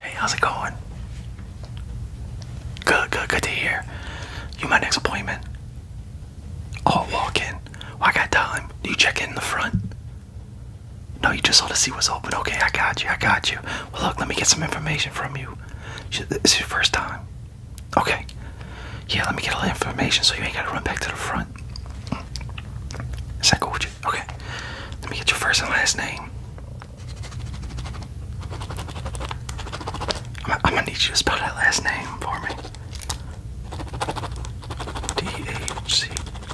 Hey, how's it going? Good, good, good to hear. You my next appointment? I'll oh, walk in. Oh, I got time. Do you check in the front? No, you just ought to see what's open. Okay, I got you. I got you. Well, look, let me get some information from you. This is your first time. Okay. Yeah, let me get all the information so you ain't gotta run back to the front. Is that cool with you? Okay. Let me get your first and last name. I'm, gonna need you to spell that last name for me. DHC.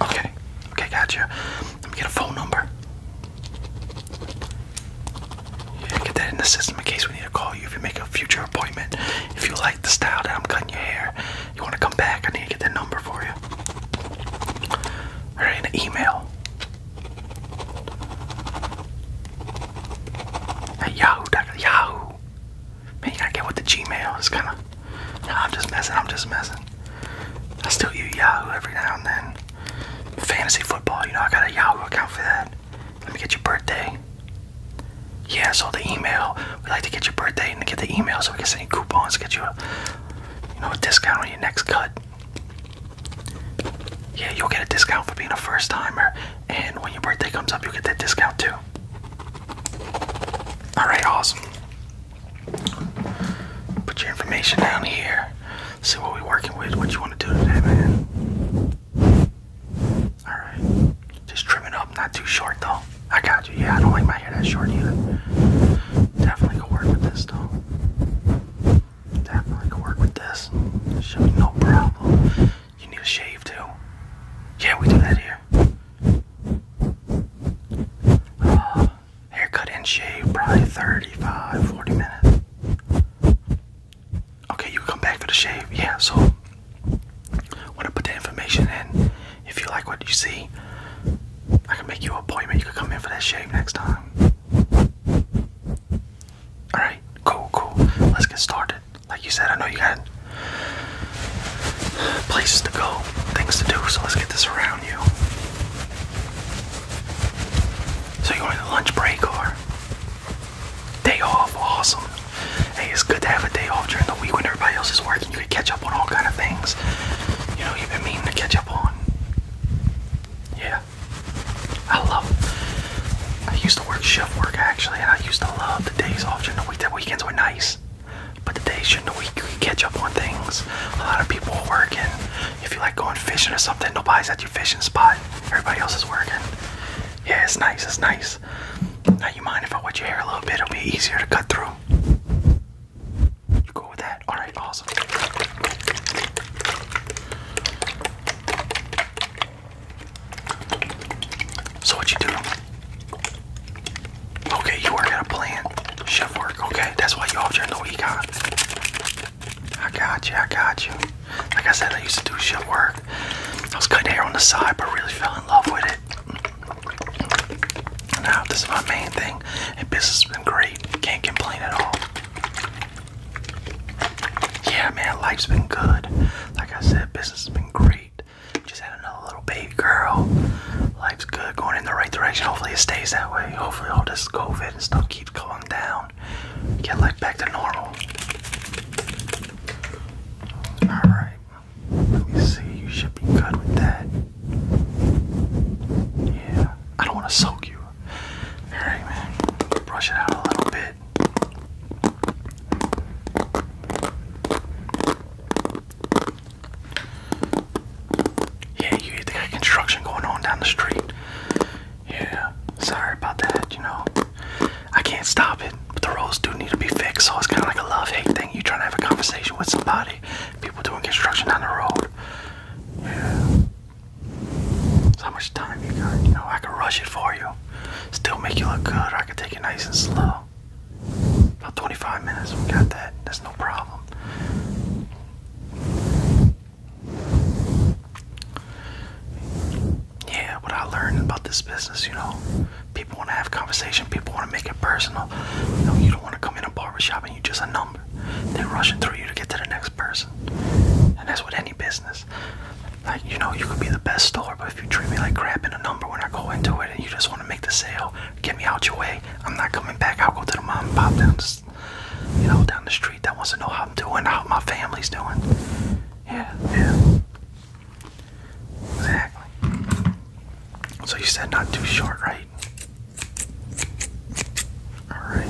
Okay, okay, gotcha. Let me get a phone number. Yeah, get that in the system in case we need to call you if you make a future appointment. If you like the style that I'm cutting your hair, you want to come back, I need to get that number for you area or an email at yahoo. Yahoo. Man, you gotta get with the Gmail. It's kind of. No, I'm just messing. I'm just messing. I still use Yahoo every now and then. Fantasy football, you know, I got a Yahoo account for that. Let me get your birthday. Yeah, so the email. We'd like to get your birthday and get the email so we can send you coupons, get you a, you know, a discount on your next cut. Yeah, you'll get a discount for being a first timer, and when your birthday comes up, you get that discount too. Alright, awesome. Put your information down here. See what we're working with, what you want to do today, man. Alright. Just trim it up, not too short though. I got you. Yeah, I don't like my hair that short either. Definitely gonna work with this this though. Definitely could work with this. no problem. You need a shave too. Yeah, we do that here. Uh, haircut and shave, probably 35, 40 minutes. Okay, you come back for the shave. Yeah, so want to put the information in. If you like what you see, I can make you an appointment. You can come in for that shave next time. Alright, cool, cool. Let's get started. Like you said, I know you got places to go, things to do, so let's get this around you. So you're going lunch break or day off? Awesome. Hey, it's good to have a day off during the week when everybody else is working. You can catch up on all kind of things. You know, you've been meaning to catch up on. Yeah. I love I used to work shift work actually and I used to love the days off during the week. The weekends were nice. But the days during the week we catch up on things. A lot of people are working. If you like going fishing or something, nobody's at your fishing spot. Everybody else is working. Yeah, it's nice, it's nice. Now you mind if I wet your hair a little bit, it'll be easier to cut through. You go with that? Alright, awesome. So what you doing? Okay, you are at a plan. Chef work, okay. That's why you all during the week, huh? I got you, I got you. Like I said, I used to do shit work. I was cutting hair on the side, but really fell in love with it. Now, this is my main thing, and business has been great. Can't complain at all. Yeah, man, life's been good. Like I said, business has been great. Just had another little baby girl. Life's good, going in the right direction. Hopefully, it stays that way. Hopefully, all this COVID stuff keeps going down. Get life back to normal. Alright, let me see. You should be good with that. Yeah, I don't want to soak you. Alright, man. Brush it out a little bit. Yeah, you they the construction going on down the street. Yeah, sorry about that, you know. I can't stop it, but the roads do need to be fixed, so it's kind of like a love hate thing. You trying to have a conversation with somebody, people doing construction down the road. Yeah. how much time you got. You know, I can rush it for you. Still make you look good, I can take it nice and slow. About 25 minutes, got that. That's no problem. Yeah, what I learned about this business, you know, people want to have conversation, people want to make it personal. You know, you don't want to come in a barbershop and you just a number. They're rushing through you to get to the next person. And that's what any business. Like, you know, you could be the best store, but if you treat me like crap in a number when I go into it and you just want to make the sale, get me out your way, I'm not coming back. I'll go to the mom and pop down, you know, down the street that wants to know how I'm doing, how my family's doing. Yeah, yeah. Exactly. So you said not too short, right? Alright.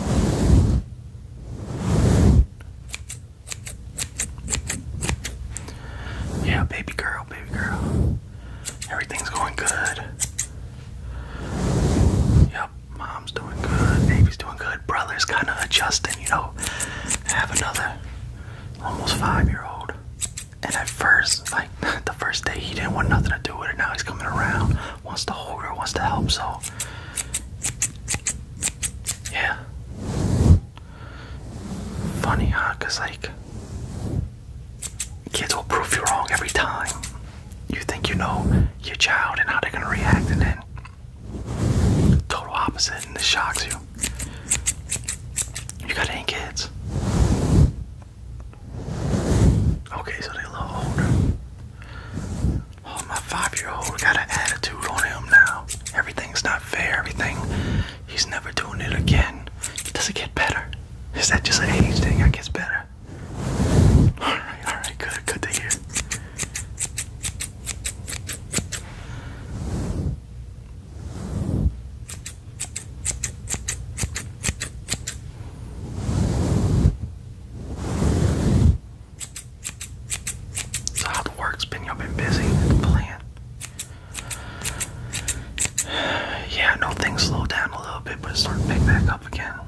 Yeah, baby girl, baby girl. Everything's going good. Yep, mom's doing good, baby's doing good, brother's kind of adjusting, you know. have another almost five year old. And at first, like, the first day he didn't want nothing to do with it. Now he's coming around, wants the whole girl. wants to help. So, yeah. Funny, huh? Cause like kids will prove you wrong every time. You think you know your child and how they're gonna react, and then total opposite, and it shocks you. You got any kids? Okay, so they a little older. Oh, my five-year-old got an attitude on him now. Everything's not fair. Everything. He's never doing it again. It doesn't get better. Is that just an age thing? It gets better. All right, all right, good, good to hear. So how the work's been? you been busy playing? Yeah, I things slowed down a little bit, but it's starting back up again. I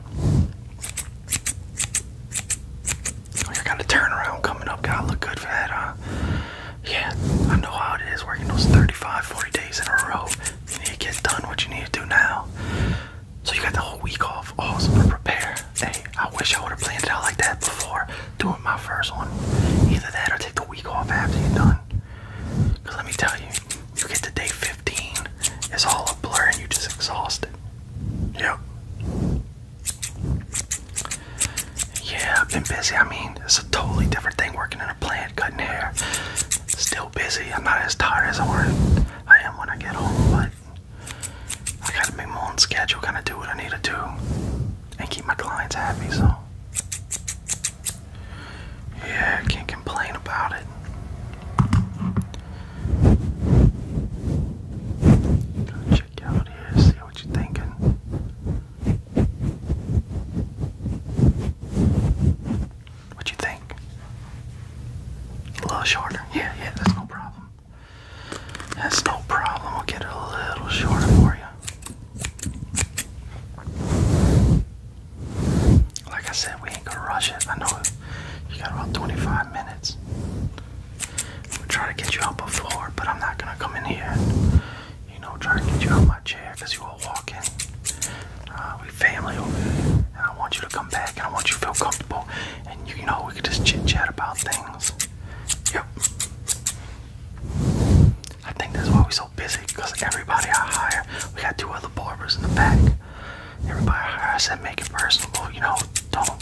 oh, got a turnaround coming up. got look good for that, huh? Yeah, I know how it is working those 35, 40 days in a row. You need to get done what you need to do now. So you got the whole week off Oh, to prepare. Hey, I wish I would have planned it out like that before doing my first one. Either that or take the week off after you're done. Because let me tell you, you get to day 15, it's all a blur and you just exhausted. Yep. Yeah, I've been busy. I mean, it's a totally different thing working in a plant, cutting hair. Still busy. I'm not as tired as I were I am when I get home, but I gotta make my own schedule, Gotta do what I need to do. And keep my clients happy, so yeah, I can't complain about it. got check out here, see what you're thinking. What you think? A little shorter. Yeah, yeah, that's no problem. That's no problem. We'll get it a little shorter for you. Like I said, we ain't gonna rush it. I know you got about 25 minutes. We'll try to get you out before, but I'm not gonna come in here and, you know, try to get you out of my chair because you will uh, we family and I want you to come back, and I want you to feel comfortable, and you, know we could just chit chat about things. Yep. I think that's why we're so busy, because everybody I hire, we got two other barbers in the back. Everybody I hire, I said make it personal, you know, don't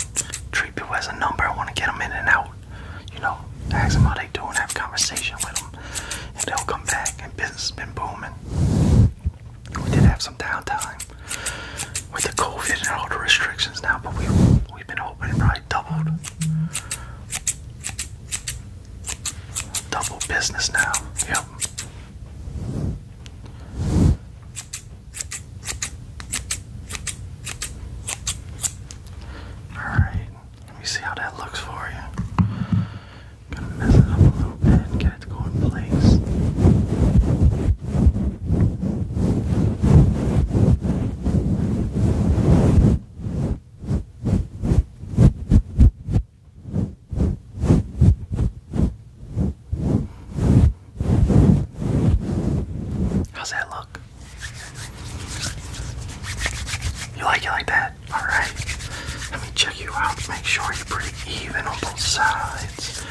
treat people as a number. I want to get them in and out. You know, ask them how they do and have a conversation with them and they'll come back and business has been booming. We did have some downtime with the COVID and all the restrictions now, but we we've been open right? doubled double business now. Yep. Alright, let me see how that looks for you. Gotta mess it up a little bit get it to go How's that look? You like it like that? Alright, let me check you out. Make sure you're pretty even on both sides.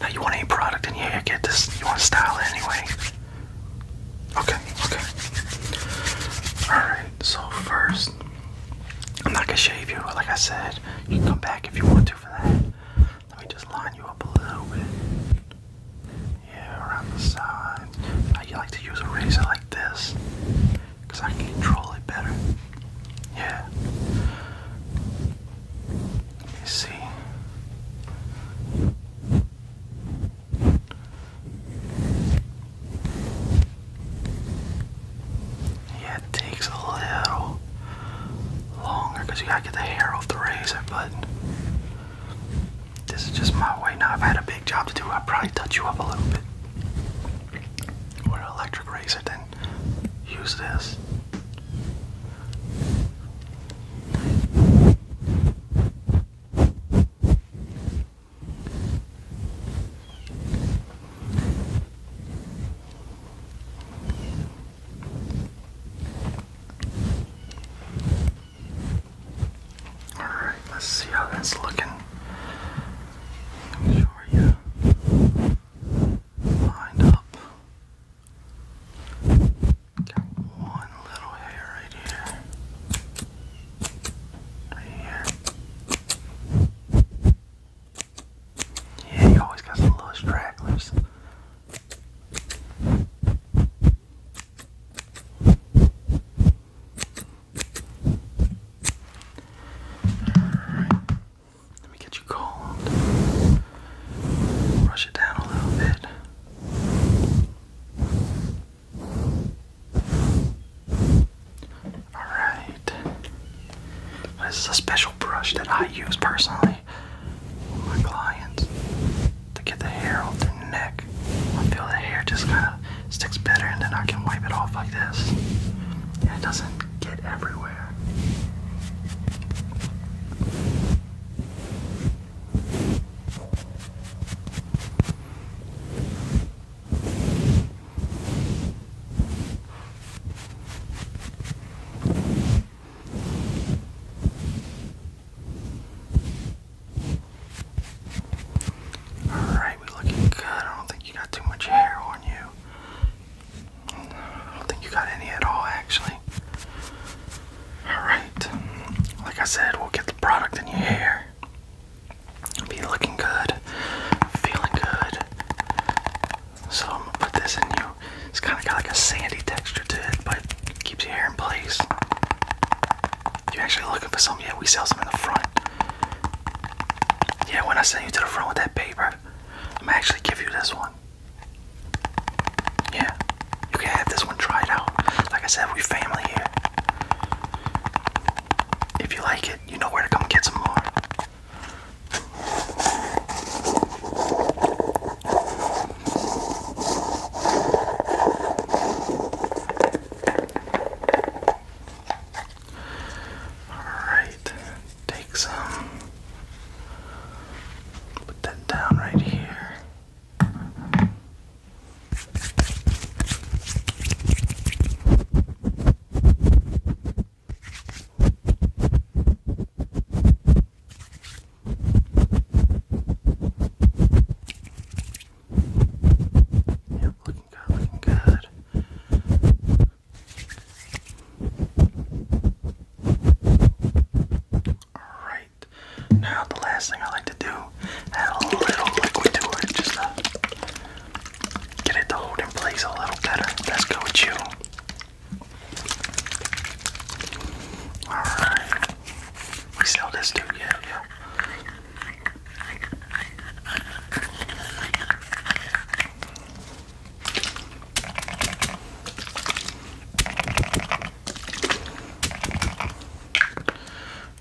Now, you want any product in here? You get this. You want to style it anyway. Okay, okay. Alright, so first, I'm not going to shave you. Like I said, you can come back if you want to for that. Let me just line you up a little bit. Yeah, around the side. you like to use a razor like this because I can control it better. Yeah. Let me see. Yeah, it takes a little longer because you gotta get the hair off the razor, but this is just my way. Now, I've had a big job to do, i probably touch you up a little bit with electric razor than use this. All right, let's see how that's looking where you lined up. Got one little hair right here. Right here. Yeah, you always got some little stragglers. Let me get you cold. Brush it down a little bit. Alright. This is a special brush that I use personally with my clients to get the hair off their neck. I feel the hair just kind of sticks better and then I can wipe it off like this. it doesn't get everywhere. Alright, we looking good. I don't think you got too much hair on you. I don't think you got any at all, actually. Alright, like I said, we'll get the product in your hair. Be looking good, feeling good. So I'm gonna put this in you. It's kind of got like a sandy texture to it, but it keeps your hair in place. you're actually looking for some, yeah, we sell some in the front. Yeah, when I send you to the front with that paper, I'm gonna actually give you this one. Yeah, you can have this one. Try it out. Like I said, we family here. If you like it, you know where to come get some more. Alright, take some. Put that down right here. Yep, looking good, Alright, now the last thing I like to do, add a little liquid to it just to get it to hold in place a little better. Let's go with you. Alright. We sell this dude, yeah, yeah.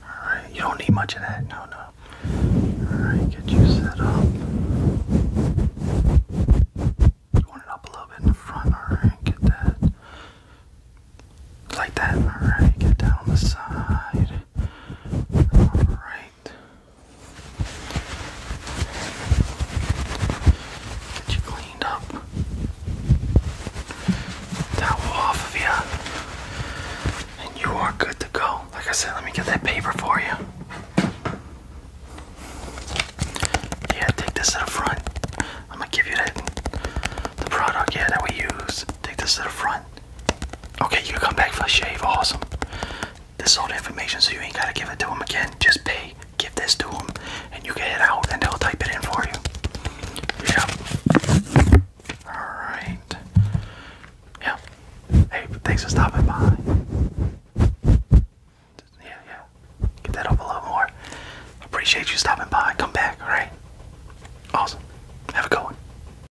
All right, you don't need much of that. No, no. All right, get you set up. You it up a little bit in the front. All right, get that. Like that. All right, get down on the side. All right. Get you cleaned up. Towel off of you. And you are good to go. Like I said, let me get that paper for you. Yeah, take this to the front. I'm gonna give you that the product yeah that we use. Take this to the front. Okay, you come back for a shave. Awesome. This is all the information, so you ain't gotta give it to him again. Just pay, give this to him, and you get it out, and they'll type it in for you. Yep. Alright. Yeah. Hey, thanks for stopping by. Yeah, yeah. Get that up a little more. Appreciate you stopping by. Come back, alright? Awesome. Have a good one.